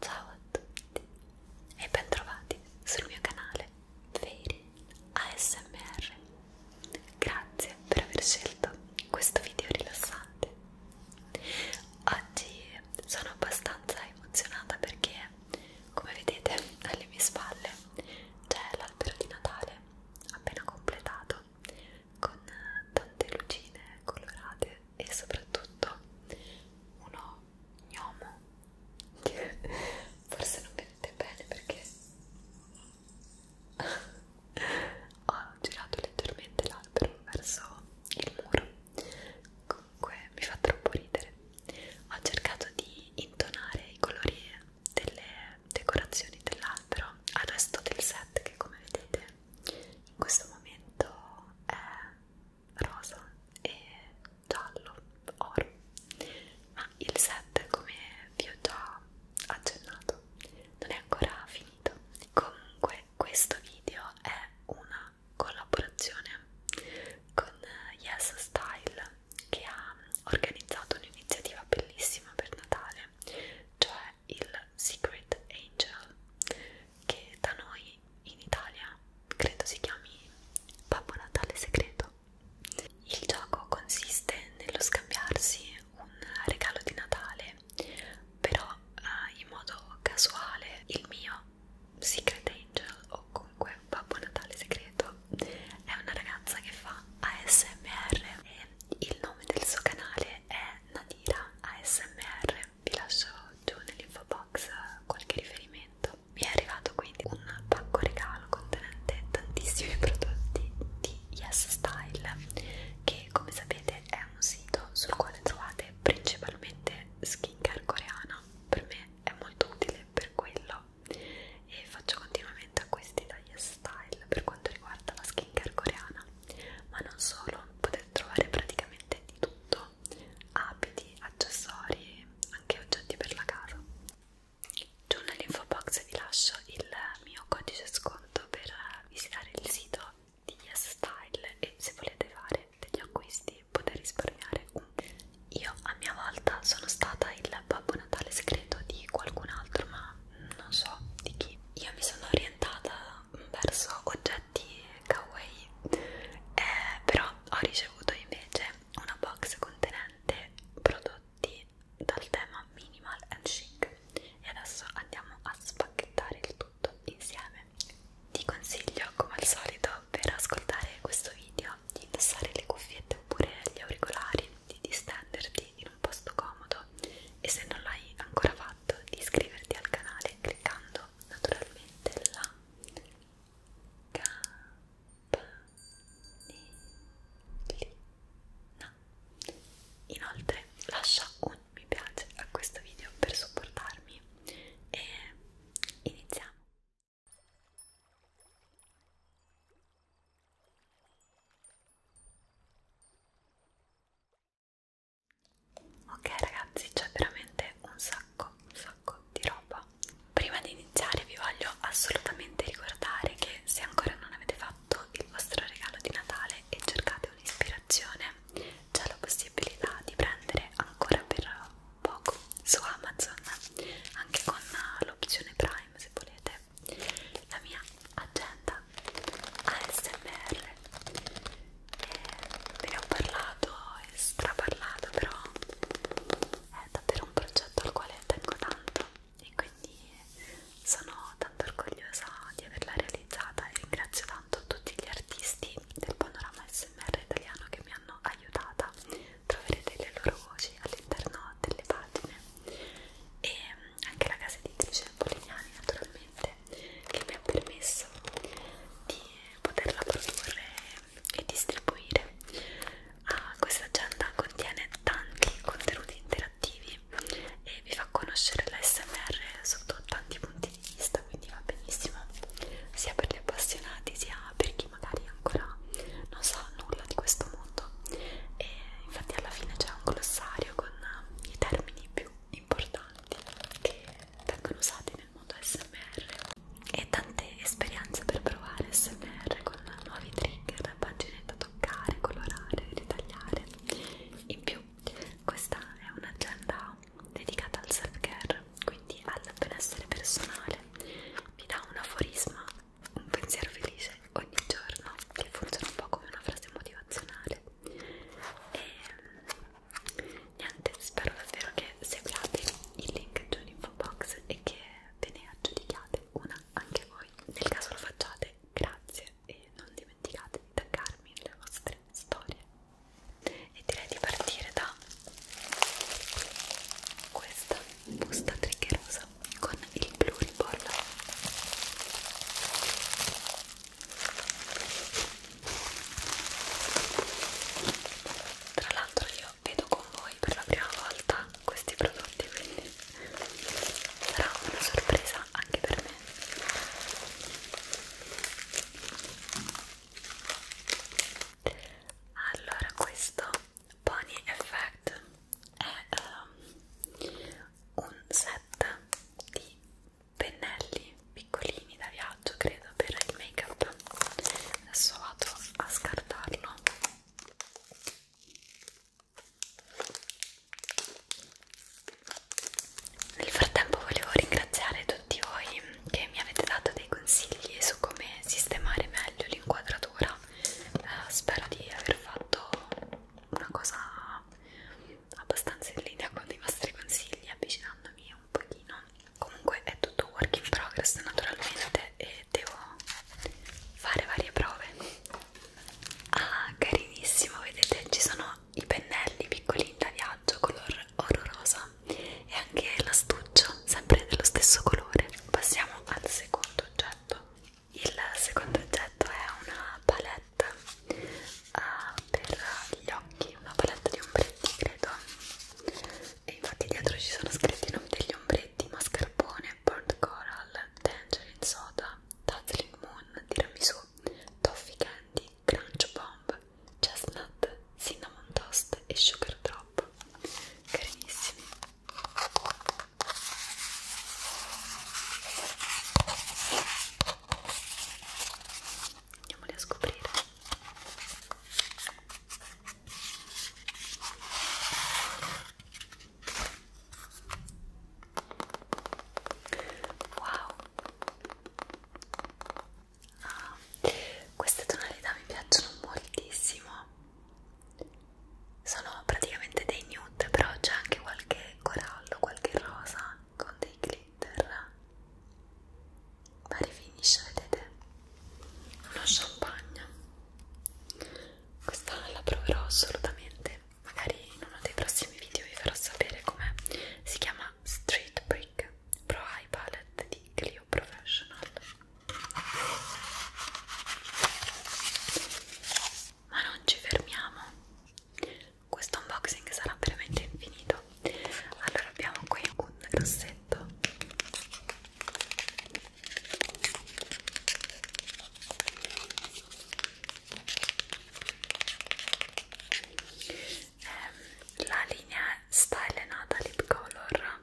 Ciao a tutti e bentrovati sul mio canale Feri ASMR. Grazie per aver scelto questo video rilassante. Oggi sono abbastanza emozionata perché, come vedete, alle mie spalle c'è l'albero di Natale appena completato con tante lucine colorate e soprattutto uno gnomo forse non vedete bene perché ho girato leggermente l'albero verso il muro comunque mi fa troppo ridere ho cercato di intonare i colori delle decorazioni dell'albero al resto del set che come vedete in questo momento è rosa e giallo, oro, ma il set come vi ho già accennato non è ancora finito. Comunque questo video è una collaborazione con Yes Style che ha organizzato un'iniziativa bellissima per Natale, cioè il Secret Angel che da noi in Italia credo si chiami Babbo Natale Segreto. Il gioco consiste nello scambiarsi un regalo di Natale, però eh, in modo casuale il mio Secret Angel o comunque Babbo Natale Segreto è una ragazza che fa ASMR e il nome del suo canale è Nadira ASMR vi lascio giù nell'info box qualche riferimento mi è arrivato quindi un pacco regalo contenente tantissimi prodotti di Yes Style che come sapete è un sito sul quale trovate principalmente skincare coreana per me è molto utile per quello e faccio continuamente acquisti da Yes Style per quanto riguarda la skincare coreana ma non solo, potete potete trovare praticamente di tutto abiti, accessori, anche oggetti per la casa giù nell'info box vi lascio il mio codice sconto per visitare il sito di Yes Style e se volete fare degli acquisti potete risparmiare un po' io a mia volta sono stata il Babbo Natale segreto di qualcun altro ma non so di chi io mi sono orientata verso oggetti kawaii eh, però ho ricevuto invece una box contenente prodotti dal tema minimal and chic e adesso andiamo a spacchettare il tutto insieme ti consiglio come al solito per ascoltare questo video di indossare le cuffiette oppure gli auricolari di distenderti in un posto comodo e se non l'hai ancora fatto di iscriverti al canale cliccando naturalmente la campanellina inoltre lascia un mi piace a questo video per supportarmi e iniziamo Ok ragazzi, c'è veramente un sacco, un sacco di roba. Prima di iniziare vi voglio assolutamente ricordare che se ancora non avete fatto il vostro regalo di Natale e cercate un'ispirazione, c'è la possibilità di prendere ancora per poco su Amazon, anche con l'opzione Prime se volete, la mia agenda ASMR e eh, ve ne ho parlato e straparlato però è davvero un progetto al quale tengo tanto e quindi sono tanto orgogliosa di averla realizzata e ringrazio tanto tutti gli artisti del panorama SMR italiano che mi hanno aiutata troverete le loro voci all'interno delle pagine e anche la casa editrice Polignani naturalmente che mi ha permesso di poterla produrre e distribuire ah, questa agenda contiene tanti contenuti interattivi e vi fa conoscere l'SMR sotto tanti punti di vista quindi va benissimo sia per gli appassionati sia per chi magari ancora non sa nulla di questo mondo e infatti alla fine c'è un glossario video con eh, i termini più importanti che vengono usati nel mondo SMR e tante esperienze per provare SMR con nuovi trigger, pagine da toccare, colorare, ritagliare. In più, questa è un'agenda dedicata al self-care, quindi al benessere personale. Vi dà un aforisma, un pensiero felice ogni giorno che funziona un po' come una frase motivazionale e ehm, niente spero davvero che seguiate il link giù in info box e che ve ne aggiudichiate una anche voi nel caso lo facciate grazie e non dimenticate di taggarmi le vostre storie e direi di partire da questa busta triggerosa rosa con il blu ribolla tra l'altro io vedo con voi per la prima volta questi prodotti quindi sarà una sorpresa anche per me allora questo Pony Effect è um, un set di pennelli piccolini da viaggio credo per il make up adesso vado a scartarlo nel frattempo volevo ringraziare tutti voi che mi avete dato dei consigli su come sistemare meglio l'inquadratura eh, spero di aver fatto una cosa abbastanza in linea con i vostri consigli avvicinandomi un pochino comunque è tutto work in progress naturalmente e devo fare varie prove ah carinissimo vedete ci sono i pennelli piccolini da viaggio color oro rosa e anche l'astuccio sempre dello stesso colore passiamo al secondo oggetto il secondo oggetto è una palette uh, per gli occhi, una palette di ombretti credo e infatti dietro ci sono scritti i nomi degli ombretti mascarpone, burnt coral, tangerine soda, dazzling moon, tiramisù, toffee candy, crunch bomb, chestnut, cinnamon toast e sugar drop carinissimi Andiamoli a scoprire. Wow! Ah, queste tonalità mi piacciono moltissimo sono praticamente dei nude però c'è anche qualche corallo, qualche rosa con dei glitter vari finish vedete uno champagne questa la proverò assolutamente magari in uno dei prossimi video vi farò sapere com'è si chiama Street Brick Pro Eye Palette di Clio Professional ma non ci fermiamo, questo unboxing sarà veramente infinito. Allora abbiamo qui un rossetto ehm, la linea Style Nata Lip Color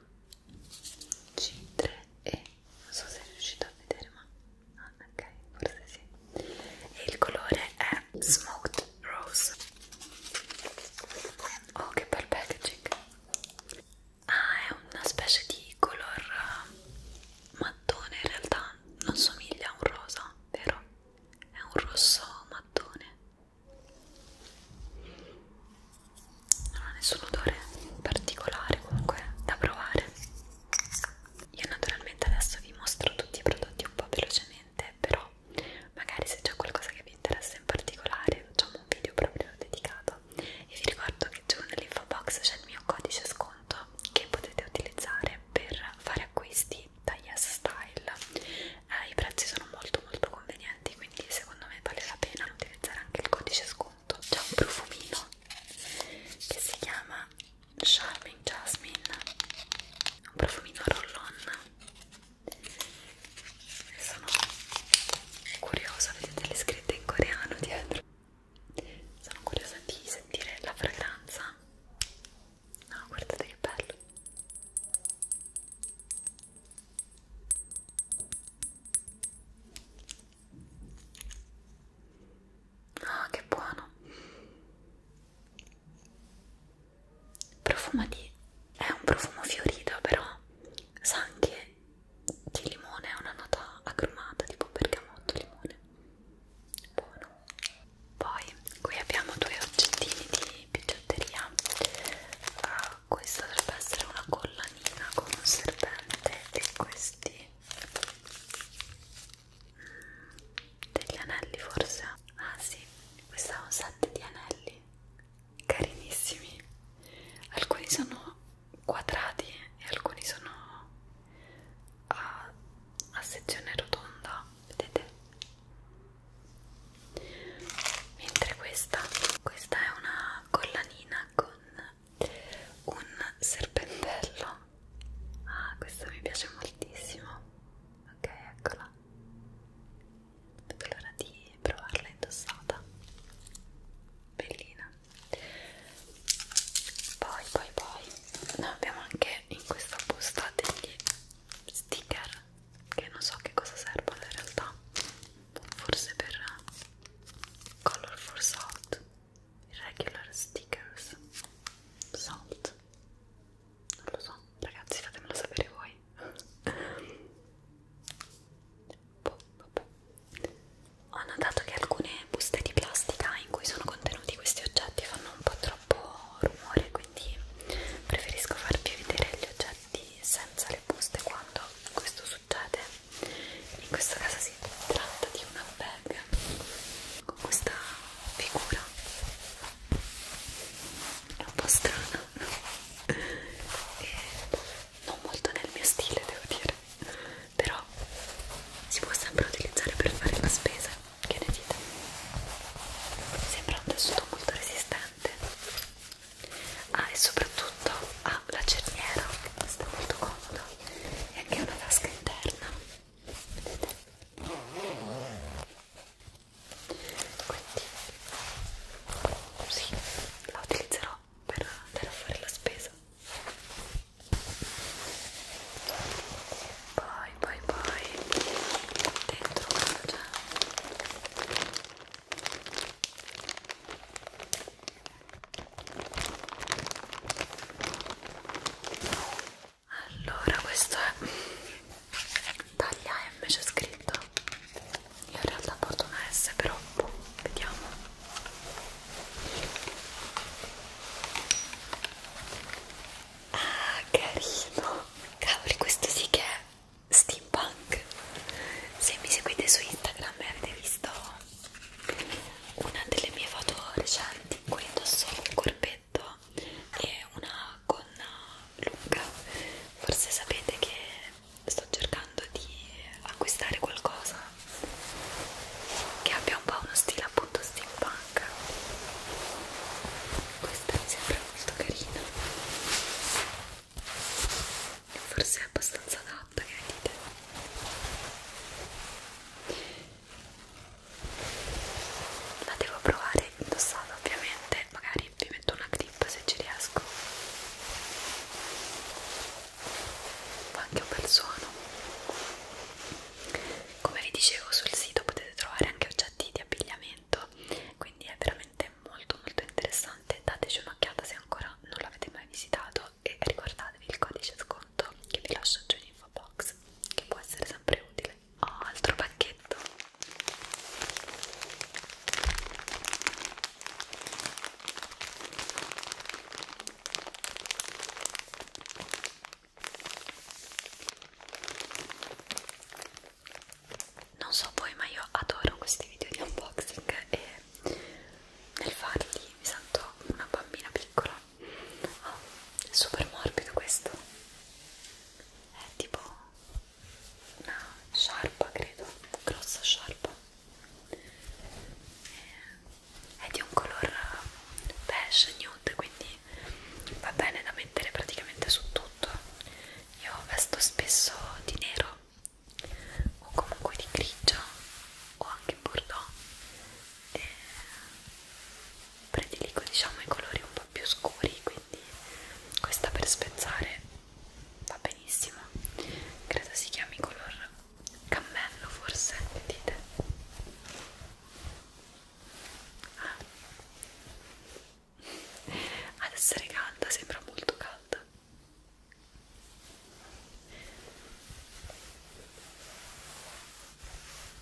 c3 e non so se riuscite a vedere ma ah, ok forse sì e il colore è smoked rose oh che bel packaging ah è una specie di color eh, mattone in realtà non somiglia a un rosa vero? è un rosso mattone non ha nessun odore particolare comunque da provare io naturalmente adesso vi mostro tutti i prodotti un po' velocemente però magari se c'è qualcosa che vi interessa in particolare facciamo un video proprio dedicato e vi ricordo che giù nell'info box c'è il mio codice sconto che potete utilizzare per fare acquisti da Yes Style eh, i prezzi sono molto molto convenienti quindi secondo me vale la pena utilizzare anche il codice sconto sotto c'è un profumino che si chiama Charming Jasmine un profumino roll-on sono curiosa, vedete le scritte in coreano dietro sono curiosa di sentire la fragranza no, guardate che bello Ah, che buono! Profuma di... è un profumo fiorito, però sa anche di limone, è una nota agrumata, tipo bergamotto, limone. Buono. Poi qui abbiamo due oggettini di bigiotteria. Uh, questa dovrebbe essere una collanina con un serpente e questi degli anelli forse ah sì questo è un set di anelli carinissimi alcuni sono quadrati e alcuni sono a, a sezione rotonda vedete mentre questa questa è una collanina con con un serpentello ah questo mi piace moltissimo ok eccola non vedo l'ora di provarla indossata bellina poi poi poi noi abbiamo anche in questa busta degli sticker che non so che cosa servono in realtà forse per eh, Colorful Salt Regular Stickers Salt non lo so, ragazzi fatemelo sapere voi boh, boh, boh. Ho notato che alcune buste di plastica in cui sono contenuti questi oggetti fanno un po' troppo rumore quindi preferisco farvi vedere gli oggetti senza le buste quando questo succede in questo caso si tratta di una bag con questa figura è un po' strana e non molto nel mio stile devo dire però si può sempre utilizzare per fare la spesa che ne dite? sembra un tessuto molto resistente ah e soprattutto ha ah, la cerniera sta molto comoda e anche una tasca interna vedete quindi sì la utilizzerò per andare a fare la spesa poi poi poi dentro c'è allora questo è taglia M c'è scritto io in realtà porto una S però boh, vediamo ah carino cavoli questo sì che è steampunk se mi seguite su Instagram e avete visto una delle mie foto recenti in cui indosso un corpetto e una gonna lunga forse sapete che sto cercando di acquistare qualcosa che abbia un po' uno stile appunto steampunk questa mi sembra molto carina forse è abbastanza adatta che dite la devo provare indossata ovviamente magari vi metto una clip se ci riesco fa anche un bel suono come vi dicevo sul sito potete trovare anche oggetti di abbigliamento quindi è veramente veramente molto molto interessante dateci un'occhiata se ancora non l'avete mai visitato e ricordatevi il codice sconto che vi lascio giù in info box che può essere sempre utile oh, altro pacchetto non so voi ma io adoro questi video di unboxing e nel farli mi sento una bambina piccola oh, è super morbido questo è tipo una sciarpa credo grossa sciarpa è di un color beige nude quindi va bene da mettere praticamente su tutto io vesto spesso di nero o comunque di grigio o anche bordeaux e prediligo diciamo i colori un po' più scuri quindi questa per spezzare va benissimo credo si chiami color cammello forse vedete ah ad essere calda, sembra molto calda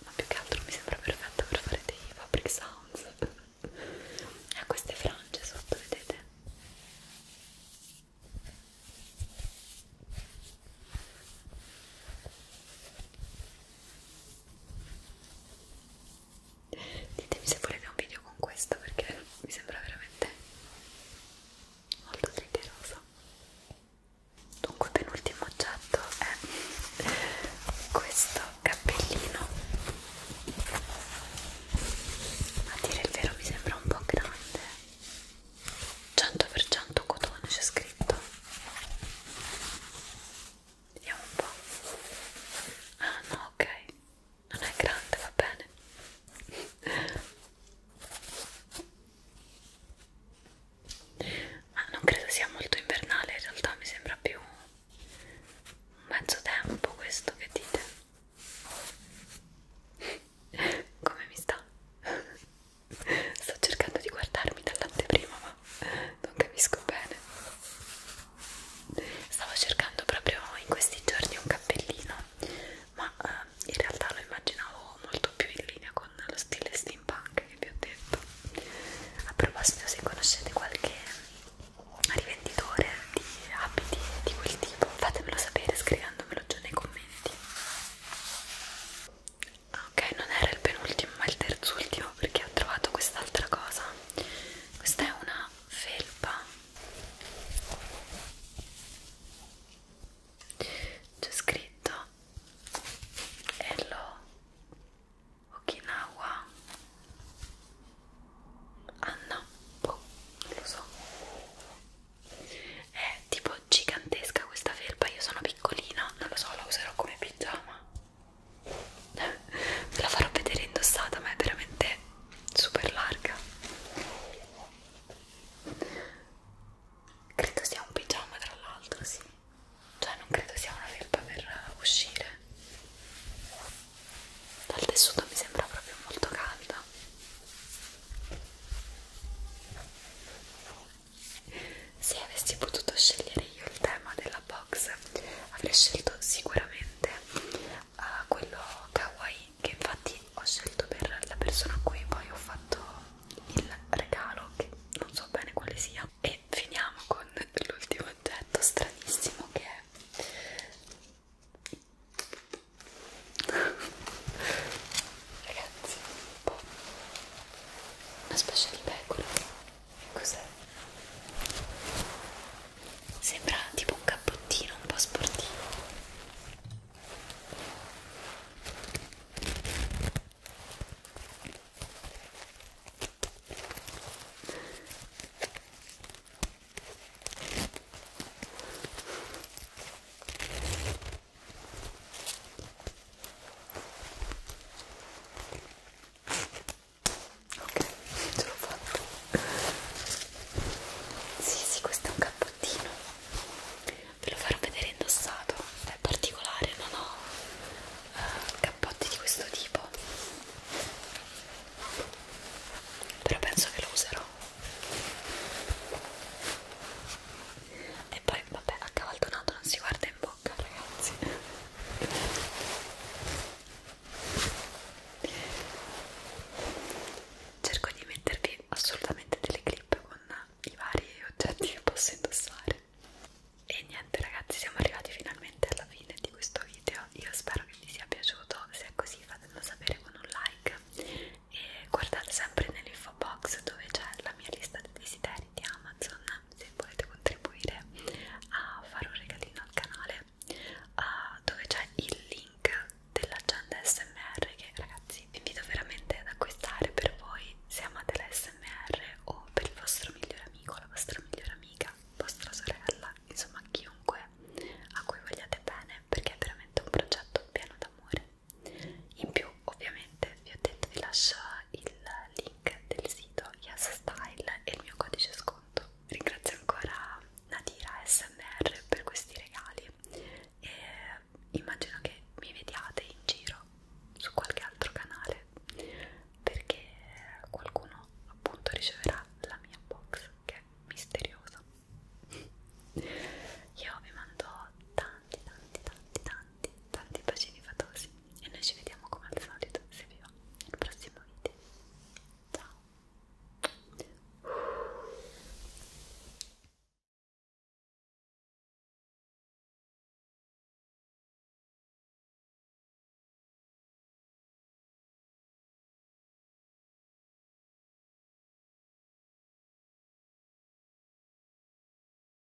ma più che altro mi sembra perfetta per fare dei fabric sounds ha eh, queste frange sotto, vedete? ditemi se volete un video con questo perché mi sembra veramente molto triggeroso dunque penultimo oggetto è questo cappellino a dire il vero mi sembra un po' grande 100% cotone c'è scritto Vediamo un po'. Ah no, ok. Non è grande, va bene. Ma non credo sia molto invernale, in realtà mi sembra più un mezzo tempo questo che dite. Come mi sta? Sto cercando di guardarmi dall'anteprima ma non capisco bene. Stavo cercando proprio in questi giorni un cappellino, ma eh, in realtà lo immaginavo molto più in linea con lo stile steampunk che vi ho detto. A proposito, se conoscete qualche rivenditore di abiti di quel tipo, fatemelo sapere scrivendomelo giù nei commenti. Ok, non era il penultimo, ma il terzultimo perché ho trovato quest'altra cosa questa è una felpa c'è scritto Hello Okinawa Anna ah, boh, non lo so è tipo gigantesca questa felpa io sono piccolina non lo so la userò come pigiama ve la farò vedere indossata ma è veramente super larga credo sia un pigiama tra l'altro sì cioè non credo sia una felpa per uscire dal tessuto mi sembra proprio molto calda se avessi potuto scegliere io il tema della box avrei scelto sicuramente uh, quello kawaii che infatti ho scelto per la persona a cui poi ho fatto il regalo che non so bene quale sia e finiamo con l'ultimo oggetto stranissimo che è ragazzi un po' una specie di pecora Cos'è? Sembra tipo un cappottino un po' sportivo ok ce l'ho fatto sì sì questo è un cappottino ve lo farò vedere indossato è particolare non ho uh, cappotti di questo tipo però penso che lo userò e poi vabbè accavaldonato non si guarda in bocca bocca ragazzi cerco di mettervi assolutamente delle clip con i vari oggetti che posso indossare e niente ragazzi siamo arrivati finalmente alla fine di questo video io spero che vi sia piaciuto se è così fatemelo sapere con un like e guardate sempre nell'info box dove c'è la mia lista di desideri magari di Amazon se volete contribuire a fare un regalino al canale uh, dove c'è il link dell'agenda SMR che ragazzi vi invito veramente ad acquistare per voi se amate la SMR o per il vostro migliore amico, la vostra migliore amica, vostra sorella, insomma chiunque a cui vogliate bene perché è veramente un progetto pieno d'amore in più ovviamente vi ho detto vi lascio il link del sito YesStyle e il mio codice sconto ringrazio ancora Nadira SMR per questi regali e immagino che mi vediate in giro su qualche altro canale perché qualcuno appunto riceverà la mia box che è misteriosa io vi mando tanti tanti tanti tanti tanti, tanti bacini fatosi e noi ci vediamo come al solito, se vi va, nel prossimo video. Ciao!